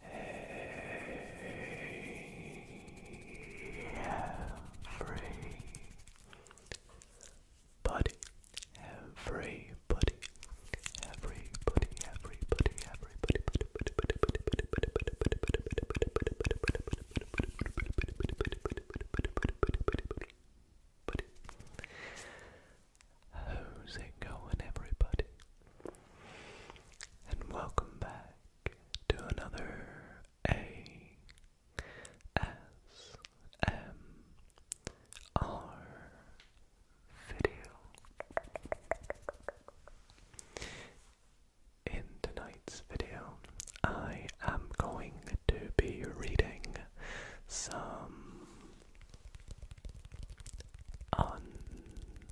Hey, everybody, everybody, everybody, everybody, everybody, How's it going, everybody? And welcome back to another A S M R video. In tonight's video, I am going to be reading some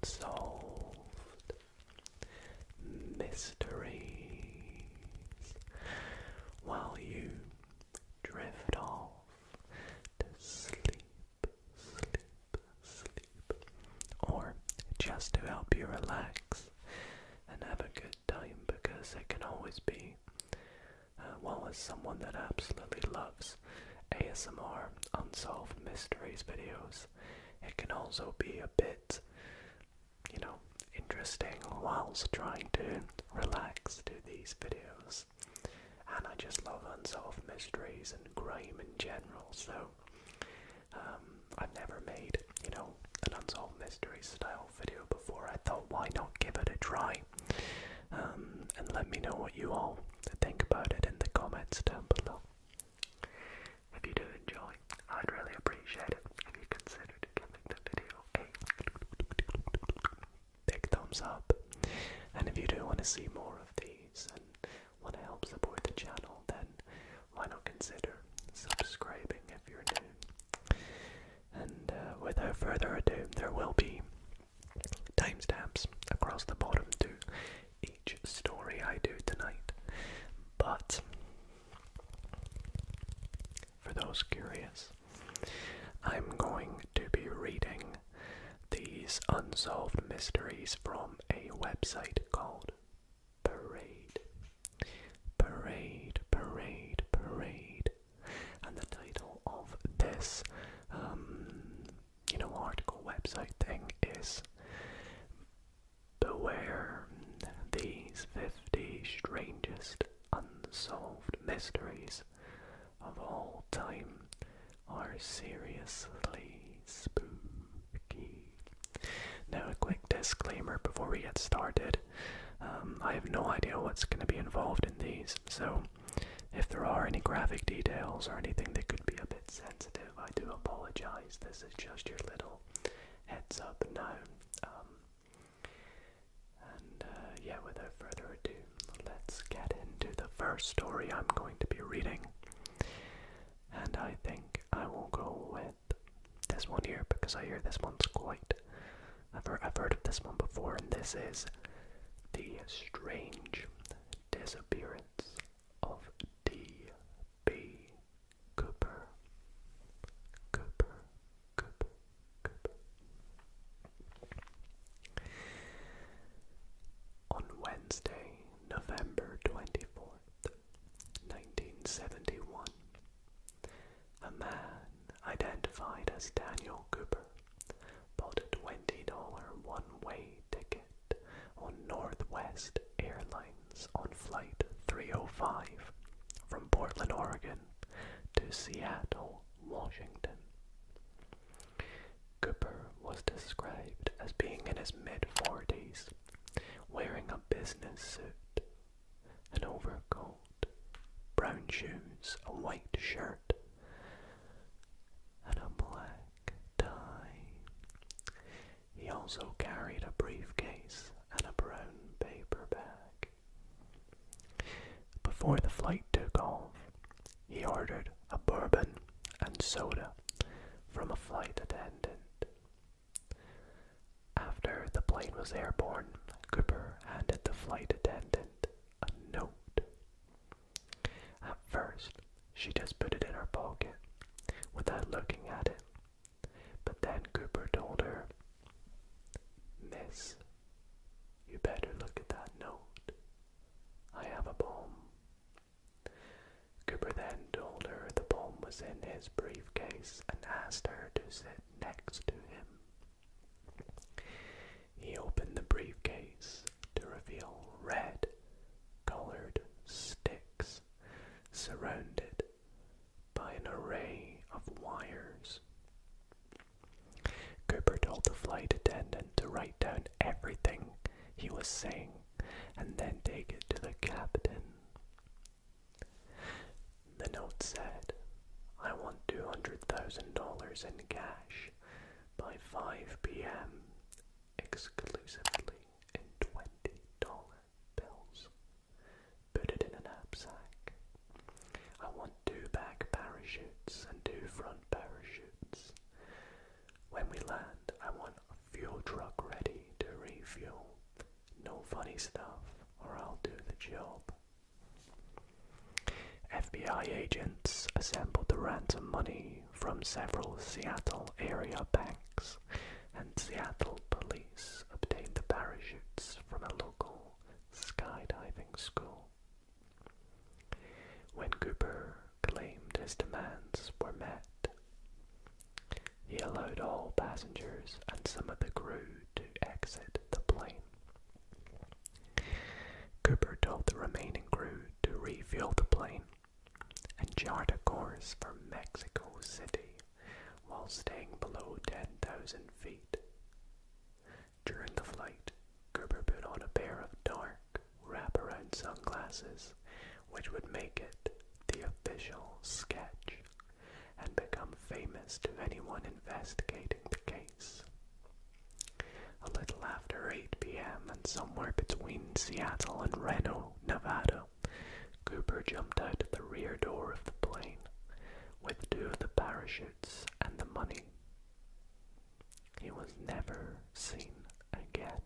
Unsolved mysteries while you drift off to sleep, sleep, sleep, or just to help you relax and have a good time because it can always be. while uh, well, someone that absolutely loves ASMR, unsolved mysteries videos. It can also be a bit, you know, interesting whilst trying to relax to these videos. And I just love unsolved mysteries and grime in general, so um, I've never made, you know, an unsolved mystery style video before. I thought, why not give it a try? Um, and let me know what you all think about it in the comments down below. If you do enjoy, I'd really appreciate it if you consider giving the video a big thumbs up. And if you do want to see more of these and want to help support the channel, then why not consider subscribing if you're new? And uh, without further ado, there will be timestamps across the bottom to each story I do tonight. But for those curious, I'm going to be reading these unsolved mysteries from a website called Parade. Parade, parade, parade. And the title of this um, you know, article website thing is beware these 50 strangest unsolved mysteries of all time are seriously spooky. Now, a quick disclaimer before we get started. Um, I have no idea what's going to be involved in these, so if there are any graphic details or anything that could be a bit sensitive, I do apologize. This is just your little heads up now. Um, and uh, yeah, without further ado, let's get into the first story I'm going to be reading. And I think I will go with this one here because I hear this one's quite. I've heard, I've heard of this one before, and this is The Strange disappearance of D. B. Cooper. Cooper. Cooper. Cooper. On Wednesday, November twenty fourth, nineteen seventy one, a man identified as Daniel Cooper bought a $20 one-way ticket on Northwest Airlines on Flight 305 from Portland, Oregon to Seattle, Washington. Cooper was described as being in his mid-40s, wearing a business suit, an overcoat, brown shoes, a white shirt, and a black tie. He also carried a briefcase and a brown paper bag. Before the flight took off, he ordered a bourbon and soda from a flight attendant. After the plane was airborne, Cooper handed the flight attendant a note at first, she just put it in her pocket without looking at it. But then Cooper told her, Miss, you better look at that note. I have a bomb. Cooper then told her the bomb was in his briefcase and asked her to sit next to him. He opened the briefcase to reveal red colored sticks surrounded by an array of wires. Cooper told the flight attendant to write down everything he was saying and then take it to the captain. The note said, I want $200,000 in cash by 5 pm exclusively in $20 bills. Put it in a knapsack. I want two back parachutes and two front parachutes. When we land, I want a fuel truck ready to refuel. No funny stuff, or I'll do the job. FBI agents assembled the ransom money from several Seattle area banks, and Seattle police obtained the parachutes from a local skydiving school. When Cooper claimed his demands were met, he allowed all passengers and some of the crew to exit the plane. Cooper told the remaining crew to refuel the plane and chart a course for Mexico City while staying below 10,000 feet. During the flight, Cooper put on a pair of dark wraparound sunglasses, which would make it the official sketch and become famous to anyone investigating the case. A little after 8 p.m. and somewhere between Seattle and Reno, Nevada, Cooper jumped out of the rear door of the plane with two of the parachutes and the money. He was never seen again.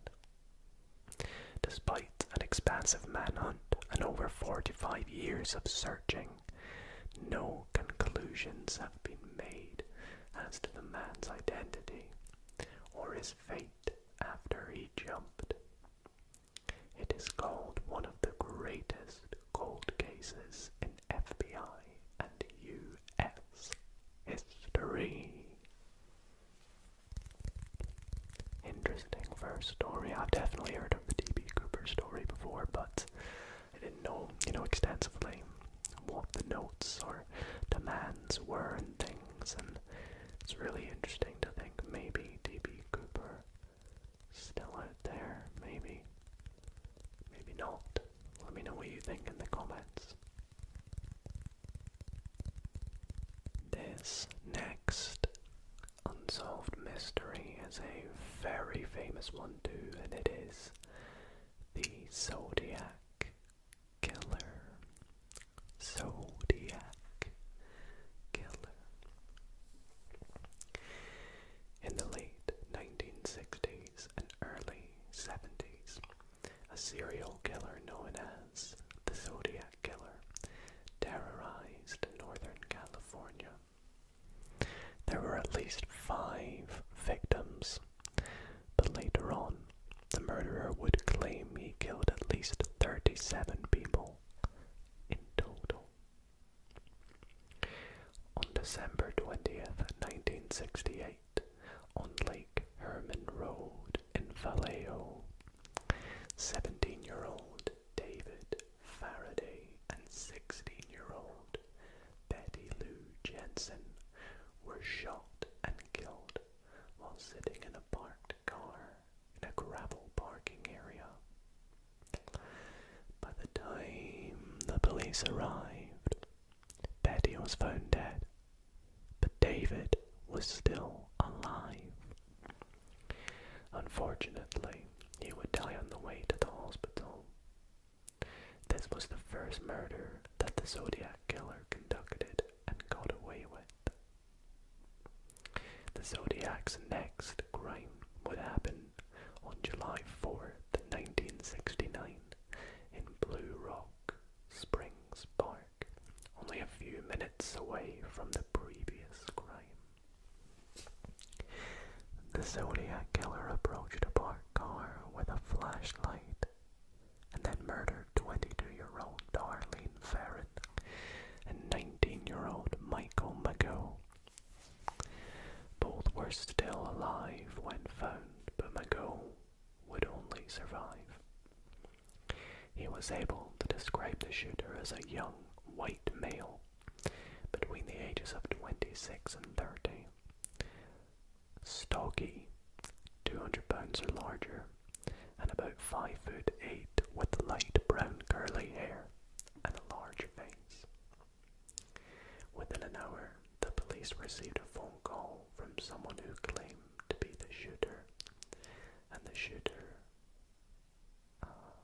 Despite an expansive manhunt and over 45 years of searching, no conclusions have been made as to the man's identity or his fate after he jumped. It is called one of the greatest cold cases in FBI and U.S. history. Interesting first story. I've definitely heard of the DB Cooper story before, but I didn't know, you know, extensively what the notes or demands were and things, and it's really interesting to think maybe D.B. Cooper still out there, maybe, maybe not. Let me know what you think in the comments. This next unsolved mystery is a very famous one too, and it is the Zodiac Killer. Zodiac Killer. In the late 1960s and early 70s, a serial killer known as the Zodiac Killer terrorized Northern California. There were at least five victims but later on, the murderer would claim he killed at least 37 people in total. On December 20th, 1968, on Lake Herman Road in Vallejo, 17 year old David Faraday and 16 year old Betty Lou Jensen were shot and killed while sitting in a parked car in a gravel parking area. By the time the police arrived, Betty was found dead, but David was still alive. Unfortunately, he would die on the way to the hospital. This was the first murder that the Zodiac Killer conducted and got away with. The Zodiac's next crime would happen on July 4th, 1969, in Blue Rock Springs Park, only a few minutes away from the previous crime. The Zodiac Killer approached the park car with a flashlight and then murdered 22-year-old Darlene Ferret and 19-year-old Michael McGill. Both were still alive when found, but McGill would only survive. He was able to describe the shooter as a young white male between the ages of 26 and 30. Stocky, 200 pounds or larger, and about 5 foot 8 with light brown curly hair and a large face. Within an hour, the police received a phone call from someone who claimed to be the shooter, and the shooter uh,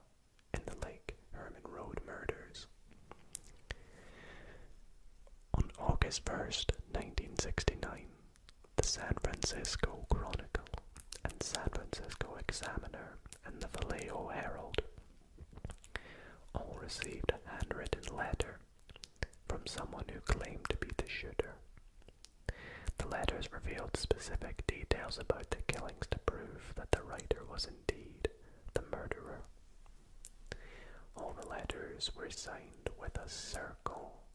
in the lake Herman Road murders. On August 1st, 1969, the San Francisco Chronicle and San Francisco Examiner and the Vallejo Herald all received a handwritten letter from someone who claimed to be the shooter. The letters revealed specific details about the killings to prove that the writer was indeed the murderer. All the letters were signed with a circle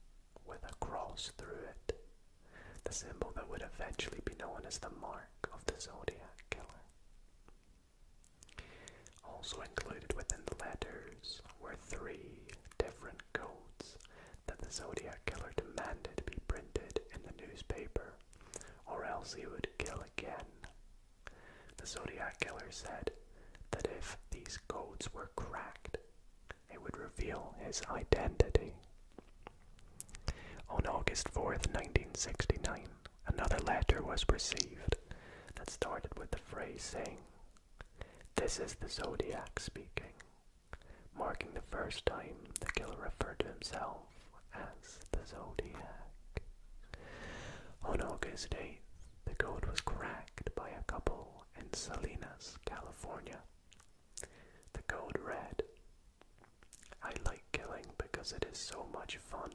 with a cross through it, the symbol that would eventually be known as the mark of the Zodiac Killer. Also included within the letters were three different codes that the Zodiac Killer demanded be printed in the newspaper, or else he would kill again the Zodiac Killer said that if these codes were cracked, it would reveal his identity. On August 4th, 1969, another letter was received that started with the phrase saying, This is the Zodiac speaking, marking the first time the killer referred to himself as the Zodiac. On August 8th, the code was cracked by a couple in Salinas, California. The code read I like killing because it is so much fun.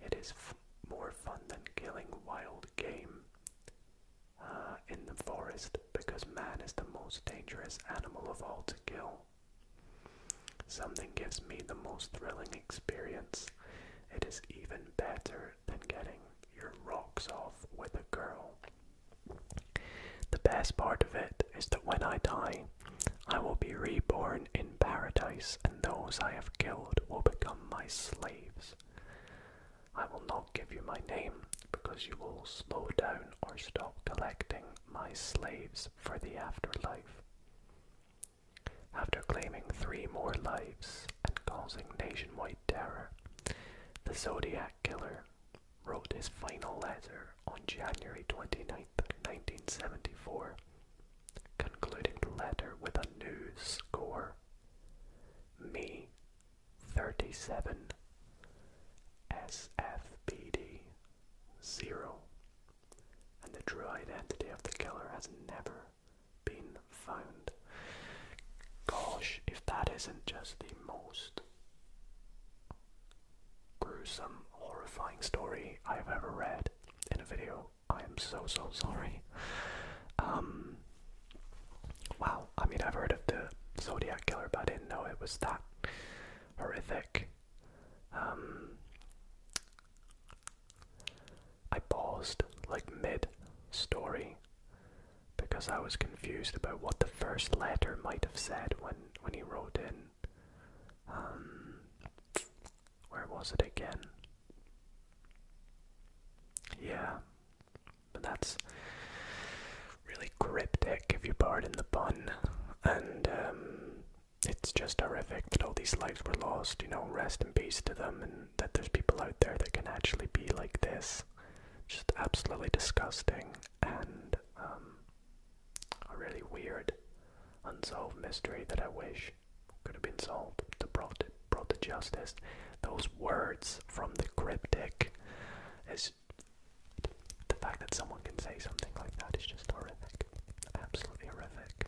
It is more fun than killing wild game uh, in the forest because man is the most dangerous animal of all to kill. Something gives me the most thrilling experience. It is even better than getting your rocks off with a girl. The best part of it is that when I die, I will be reborn in paradise, and those I have killed will become my slaves. I will not give you my name because you will slow down or stop collecting my slaves for the afterlife. After claiming three more lives and causing nationwide terror, the Zodiac Killer wrote his final letter on January 29, 1974, concluding the letter with a new score. Me, 37, SFBD, 0 and the druid identity of the killer has never been found. Gosh, if that isn't just the most gruesome, horrifying story I've ever read in a video, I am so, so sorry. Um, wow, I mean, I've heard of the Zodiac Killer, but I didn't know it was that horrific. Um, I paused, like mid story, because I was confused about what the first letter might have said when, when he wrote in. Um, where was it again? Yeah, but that's really cryptic, if you pardon the pun, and um, it's just horrific that all these lives were lost, you know, rest in peace to them, and that there's people out there that can actually be like this. Just absolutely disgusting and um, a really weird, unsolved mystery that I wish could have been solved to brought brought to justice. Those words from the cryptic is the fact that someone can say something like that is just horrific. Absolutely horrific.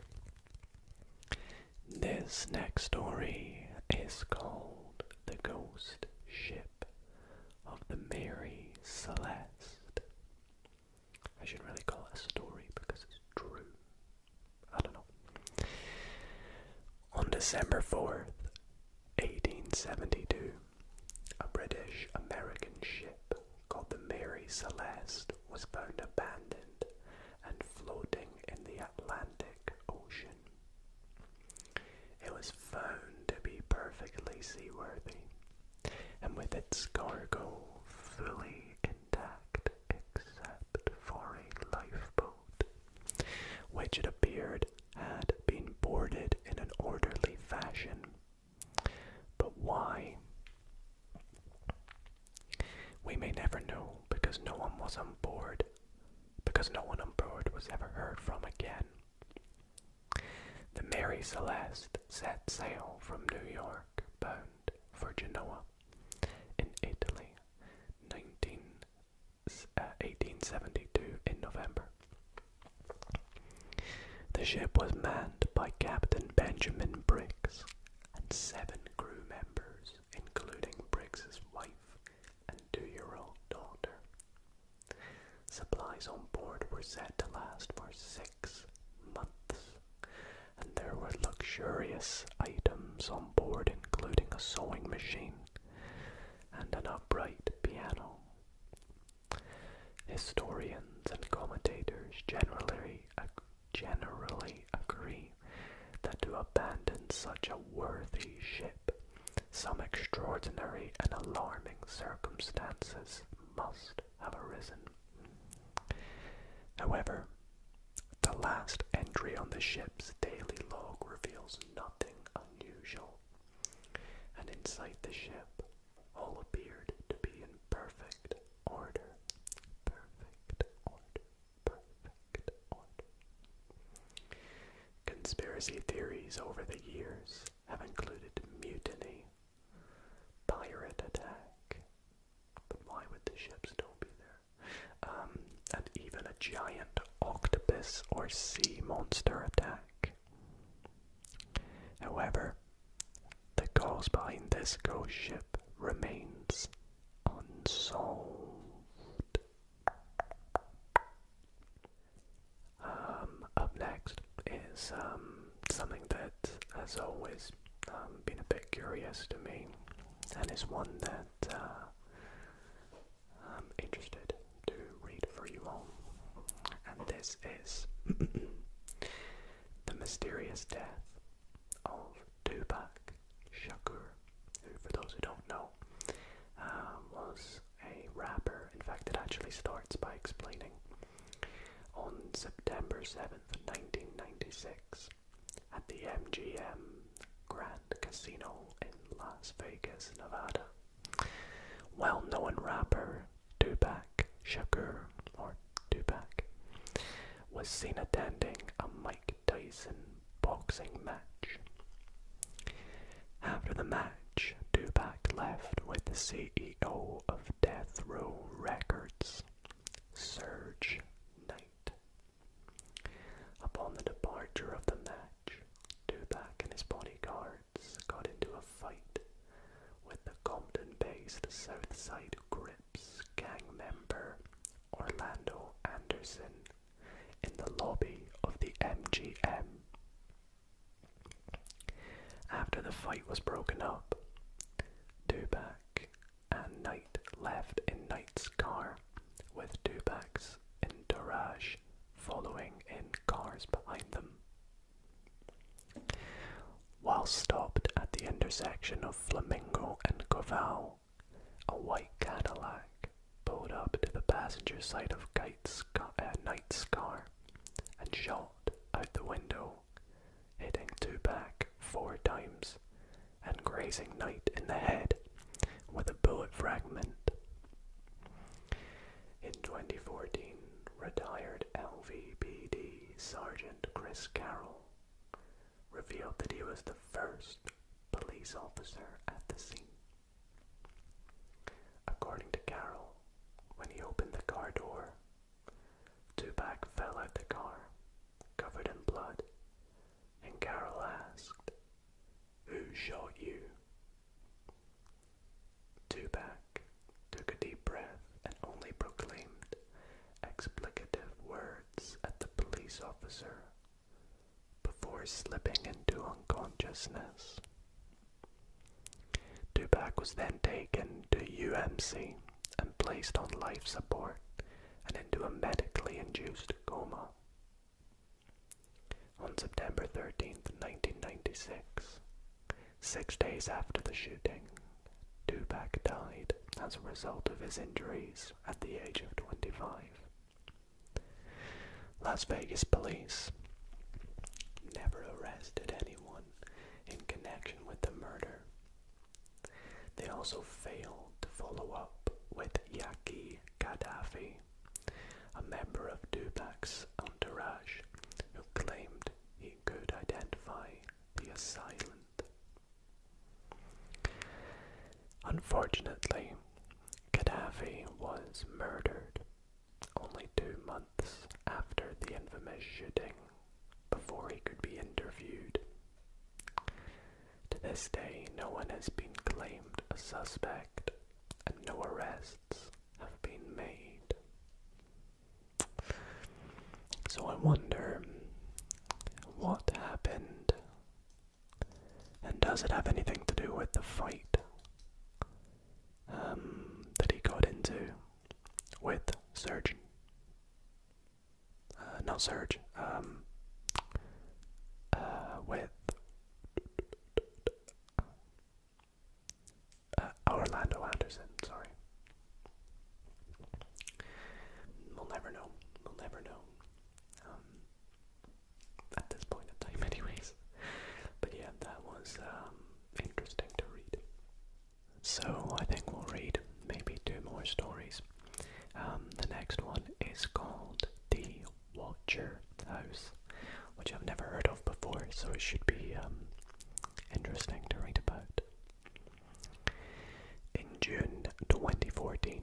This next story is called The Ghost Ship of the Mary Celeste. I should really call it a story because it's true. I don't know. On December 4th, 1872, a British American ship called the Mary Celeste was found abandoned and floating in the Atlantic Ocean. It was found to be perfectly seaworthy, and with its cargo fully intact except for a lifeboat, which it appeared had been boarded in an orderly fashion but why? We may never know because no one was on board, because no one on board was ever heard from again. The Mary Celeste set sail from New York, bound for Genoa, in Italy, 19, uh, in November. The ship was manned by Captain Benjamin Briggs and seven crew members, including Briggs's wife and two-year-old daughter. Supplies on board were said to last for six months, and there were luxurious items on board, including a sewing machine and an upright piano. Historians and commentators generally generally agree that to abandon such a worthy ship, some extraordinary and alarming circumstances must have arisen. However, the last entry on the ship's daily log reveals nothing unusual, and inside the ship, all appeared to be in perfect order. Perfect order. Perfect order. Conspiracy theories over the years have included mutiny, pirate attack, but why would the ships still be there? Um, and even a giant octopus or sea monster attack. However, the cause behind this ghost ship remains unsolved. Um, up next is um, something that has always um, been a bit curious to me, and is one that uh, I'm interested to read for you all. And this is the mysterious death of Tupac Shakur, for those who don't know, uh, was a rapper. In fact, it actually starts by explaining on September 7th, 1996, at the MGM Grand Casino in Las Vegas, Nevada. Well known rapper Tupac Shakur, or Tupac, was seen attending a Mike Tyson boxing match. After the match, Tupac left with the CEO of Death Row Records, Serge Knight. Upon the departure of the match, Tupac and his bodyguards got into a fight with the Compton-based Southside Grips gang member Orlando Anderson in the lobby of the MGM. After the fight was broken up, Dubac and Knight left in Knight's car, with Dubac's entourage following in cars behind them. While stopped at the intersection of Flamingo and Corval, a white Cadillac pulled up to the passenger side of uh, Knight's car and shot out the window, hitting two back four times and grazing Knight in the head with a bullet fragment. In 2014, retired LVPD Sergeant Chris Carroll revealed that he was the first police officer at the scene. According to Carroll, when he opened the car door, Tupac fell out the car, covered in blood, and Carroll asked, Who shot you? Tubac took a deep breath and only proclaimed explicative words at the police officer before slipping into unconsciousness. Tupac was then taken to UMC and placed on life support and into a medically induced coma. On September 13, 1996, Six days after the shooting, Dubak died as a result of his injuries at the age of 25. Las Vegas police never arrested anyone in connection with the murder. They also failed to follow up with Yaki Gaddafi, a member of Dubak's entourage who claimed he could identify the assailant. Unfortunately, Gaddafi was murdered only two months after the infamous shooting before he could be interviewed. To this day, no one has been claimed a suspect and no arrests have been made. So I wonder what happened. And does it have anything to do with the fight um, that he got into with Surge? Uh, no, Surge, um, uh, with uh, Orlando Anderson, sorry. We'll never know. We'll never know. Um, at this point in time, anyways. But yeah, that was um, interesting to read. So I think we'll read maybe two more stories. Um, the next one is called The Watcher House, which I've never heard of before, so it should be interesting to write about. In June 2014,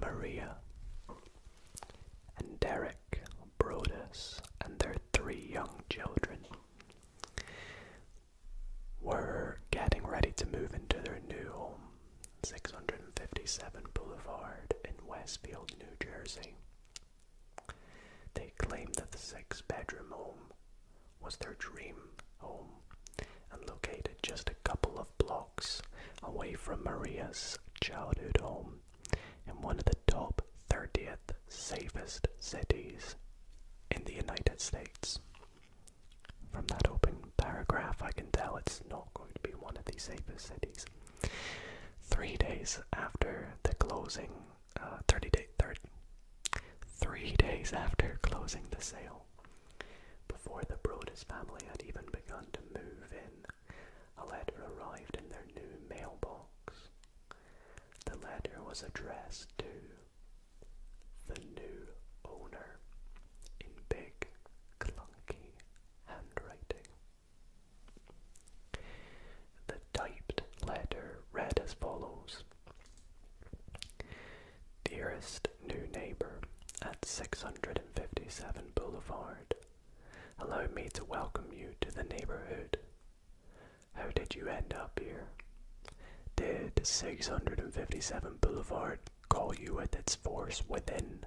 Maria and Derek Brodus and their three young children were getting ready to move into their new home, 657 Boulevard in Westfield, New Jersey, they claimed that the six bedroom home was their dream home and located just a couple of blocks away from Maria's childhood home in one of the top 30th safest cities in the United States. From that open paragraph, I can tell it's not going to be one of the safest cities. Three days after the closing, uh, 30 day, third, three days after closing the sale, before the Brodus family had even begun to move in, a letter arrived in their new mailbox. The letter was addressed to the new owner in big, clunky handwriting. The typed letter read as follows Dearest new neighbor at 657 Boulevard, allow me to welcome you to the neighborhood. How did you end up here? Did 657 Boulevard call you at its force within?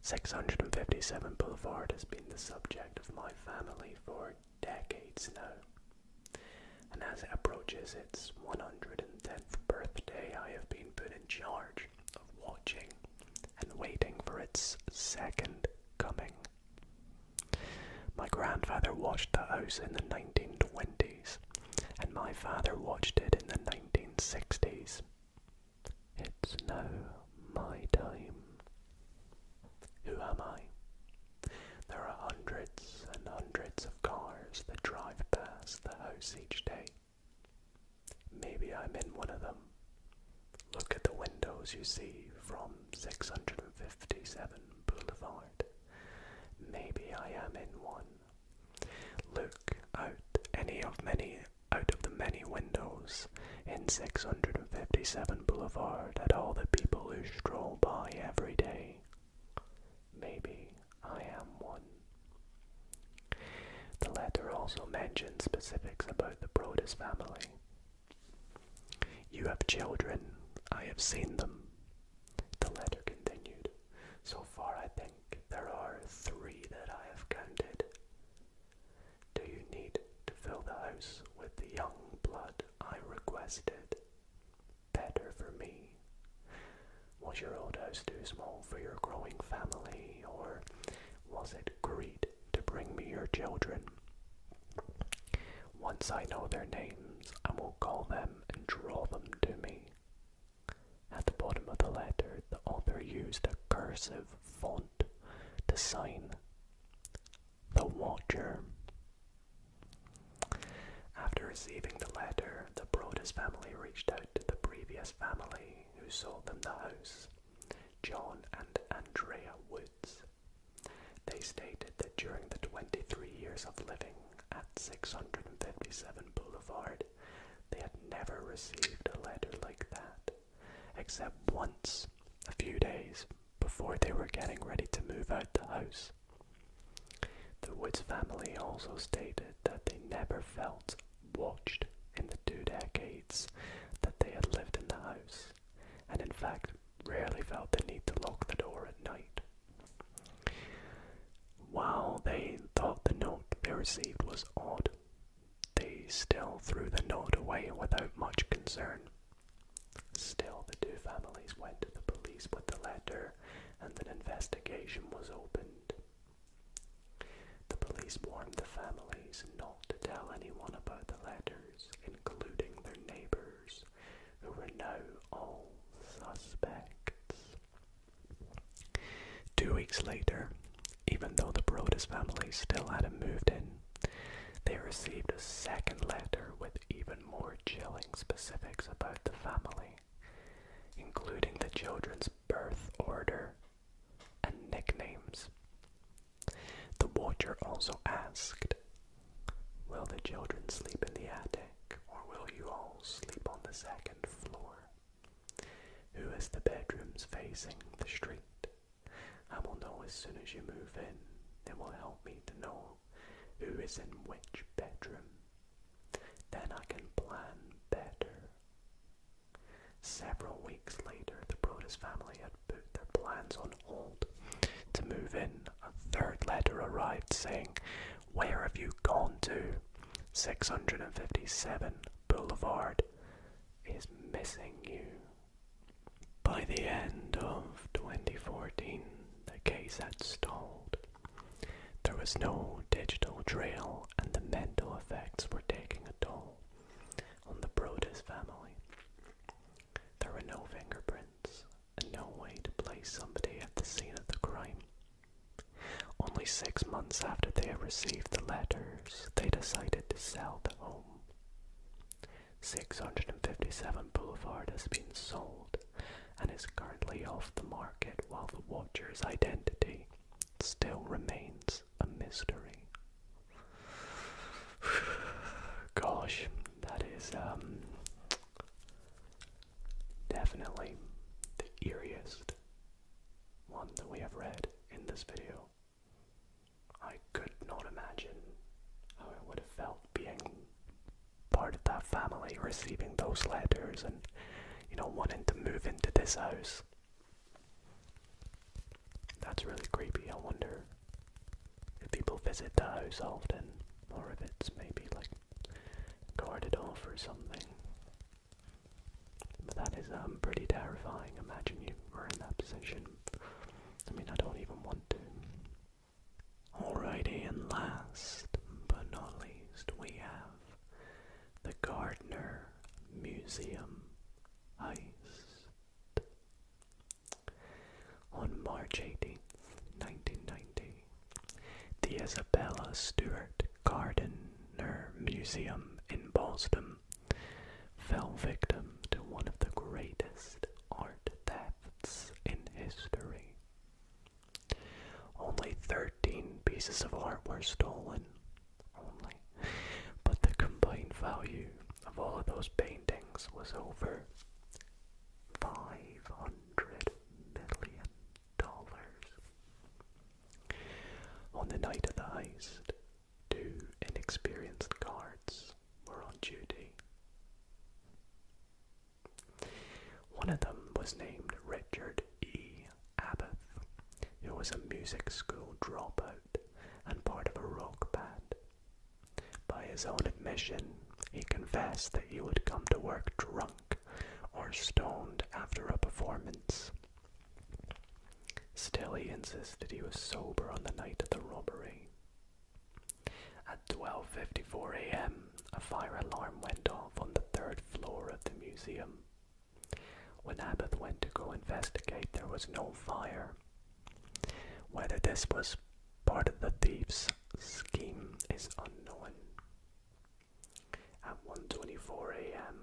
657 Boulevard has been the subject of my family for decades now, and as it approaches its 110th birthday, I have been put in charge of watching and waiting for its second coming. My grandfather watched the house in the 1920s, and my father watched it in the 1960s. It's now my time. Who am I? There are hundreds and hundreds of cars that drive past the house each day. Maybe I'm in one of them. Look at the windows you see from 657 Boulevard. Maybe I am in one. Look out any of many out of the many windows in 657 Boulevard at all the people who stroll by every day. Maybe I am one. The letter also mentioned specifics about the Brodus family. You have children. I have seen them. The letter continued. So far, I think there are three that I have counted. Do you need to fill the house with the young blood I requested? Better for me. Was your old house too small for your growing family, or was it greed to bring me your children? Once I know their names, I will call them and draw them to me. At the bottom of the letter, the author used a cursive font to sign the Watcher. After receiving the letter, the Brodus family reached out to the previous family who sold them the house, John and Andrea Woods. They stated that during the 23 years of living at 657 Boulevard, they had never received a letter like that except once a few days before they were getting ready to move out the house. The Woods family also stated that they never felt watched in the two decades that they had lived in the house, and in fact rarely felt the need to lock the door at night. While they thought the note they received was odd, they still threw the note away without much concern. Still, the two families went to the police with the letter, and an investigation was opened. The police warned the families not to tell anyone about the letters, including their neighbors, who were now all suspects. Two weeks later, even though the Brodus family still hadn't moved in, they received a second letter with even more chilling specifics about the family, including the children's birth order and nicknames. The watcher also asked, Will the children sleep in the attic, or will you all sleep on the second floor? Who has the bedrooms facing the street? I will know as soon as you move in. It will help me to know who is in which bedroom. Then I can plan better. Several weeks later, the Brodus family had put their plans on hold to move in. A third letter arrived saying, Where have you gone to? 657 Boulevard, is missing you. By the end of 2014, the case had stalled. There was no digital trail, and the mental effects were taking a toll on the Brodus family. There were no fingerprints and no way to place somebody at the scene of the crime. Only six months after they had received the letter, they decided to sell the home. 657 Boulevard has been sold and is currently off the market while the watcher's identity still remains a mystery. Gosh, that is um, definitely the eeriest one that we have read in this video. I could not imagine how it would have felt being part of that family, receiving those letters and, you know, wanting to move into this house. That's really creepy. I wonder if people visit the house often or if it's maybe like guarded off or something. But that is um, pretty terrifying. Imagine you were in that position. I mean, I don't even want to. All righty, and last but not least, we have the Gardner Museum Heist. On March eighteenth, 1990, the Isabella Stewart Gardner Museum in Boston fell victim to one of the greatest art thefts in history. Only 13 pieces of art were stolen, only, but the combined value of all of those paintings was over $500 million. On the night of the heist, Two inexperienced guards were on duty. One of them was named Richard E. Abbott, He was a music school dropout and part of a rock band. By his own admission, he confessed that he would come to work drunk or stoned after a performance Still, he insisted he was sober on the night of the robbery. At 12:54 a.m., a fire alarm went off on the third floor of the museum. When Abbott went to go investigate, there was no fire. Whether this was part of the thieves' scheme is unknown at 1.24 a.m.,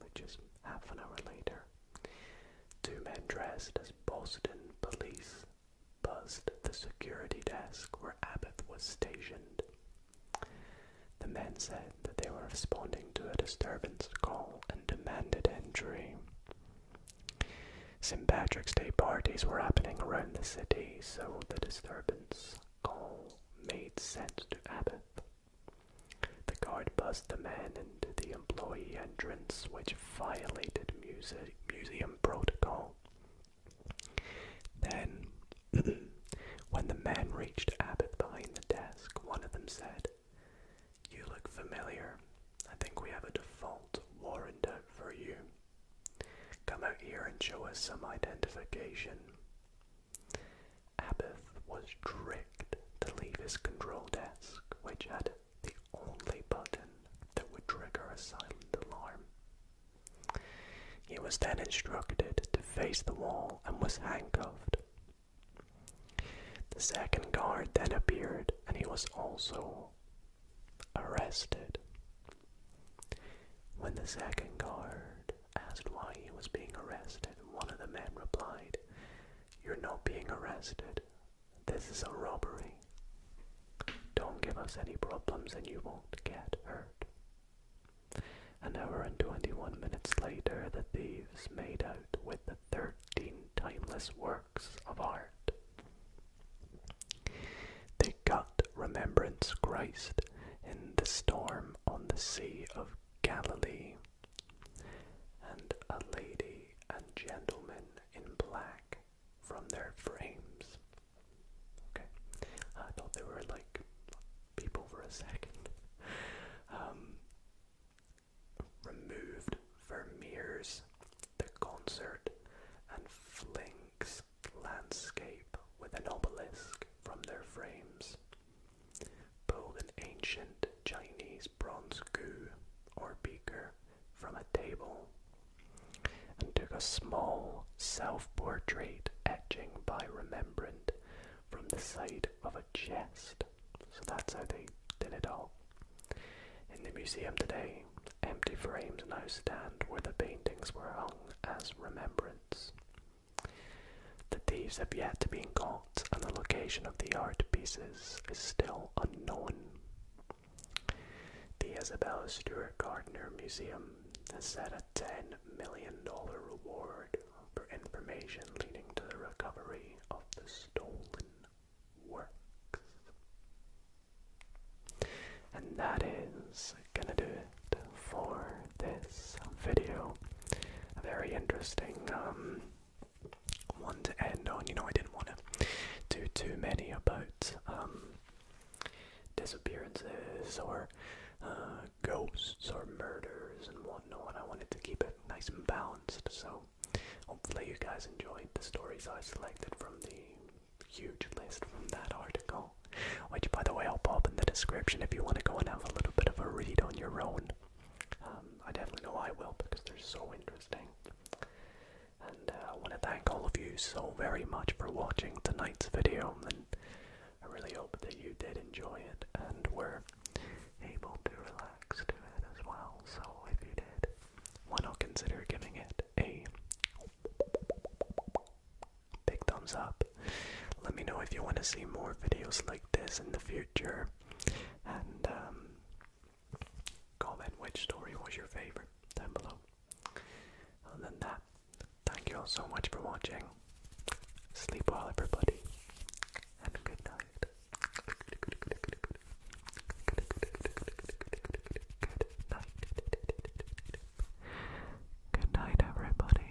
which is half an hour later, two men dressed as Boston police buzzed the security desk where Abbott was stationed. The men said that they were responding to a disturbance call and demanded entry. St. Patrick's Day parties were happening around the city, so the disturbance call made sense to Abbott. The guard buzzed the man into the employee entrance, which violated museum protocol. Then, when the man reached Abbott behind the desk, one of them said, You look familiar. I think we have a default warrant out for you. Come out here and show us some identification. Abbott was tricked to leave his control desk, which had the only button that would trigger a silent alarm. He was then instructed to face the wall and was handcuffed. The second guard then appeared and he was also arrested. When the second guard asked why he was being arrested, one of the men replied, You're not being arrested. This is a robbery. Don't give us any problems and you won't get hurt. An hour and twenty one minutes later, the thieves made out with the thirteen timeless works of art. They got Remembrance Christ in the storm on the Sea of Galilee and a lady and gentleman in black from their frames. Okay, I thought they were like people for a second. Um, removed Vermeer's The Concert and Flink's Landscape with an obelisk from their frames. Pull an ancient Chinese bronze gu, or beaker from a table and took a small self portrait etching by remembrance from the side of a chest. So that's how they did it all. In the museum today, empty frames now stand where the paintings were hung as remembrance. The thieves have yet to be caught, and the location of the art pieces is still unknown. The Isabella Stewart Gardner Museum has set a $10 million reward for information leading to the recovery of the stolen works. And that is gonna do it for this video. A very interesting um, one to end on. You know, I didn't want to do too many about um, disappearances or uh, ghosts or murders and whatnot. I wanted to keep it nice and balanced, so hopefully, you guys enjoyed the stories I selected from the huge list from that article. Which, by the way, I'll pop in the description if you want to go and have a little bit of a read on your own. Um, I definitely know I will because they're so interesting. And uh, I want to thank all of you so very much for watching tonight's video, and I really hope that you did enjoy it and were able to relax to it as well. So if you did, why not consider giving it a big thumbs up let me know if you want to see more videos like this in the future. And um, comment which story was your favorite down below. Other than that, thank you all so much for watching. Sleep well, everybody, and Good night. Good night, everybody.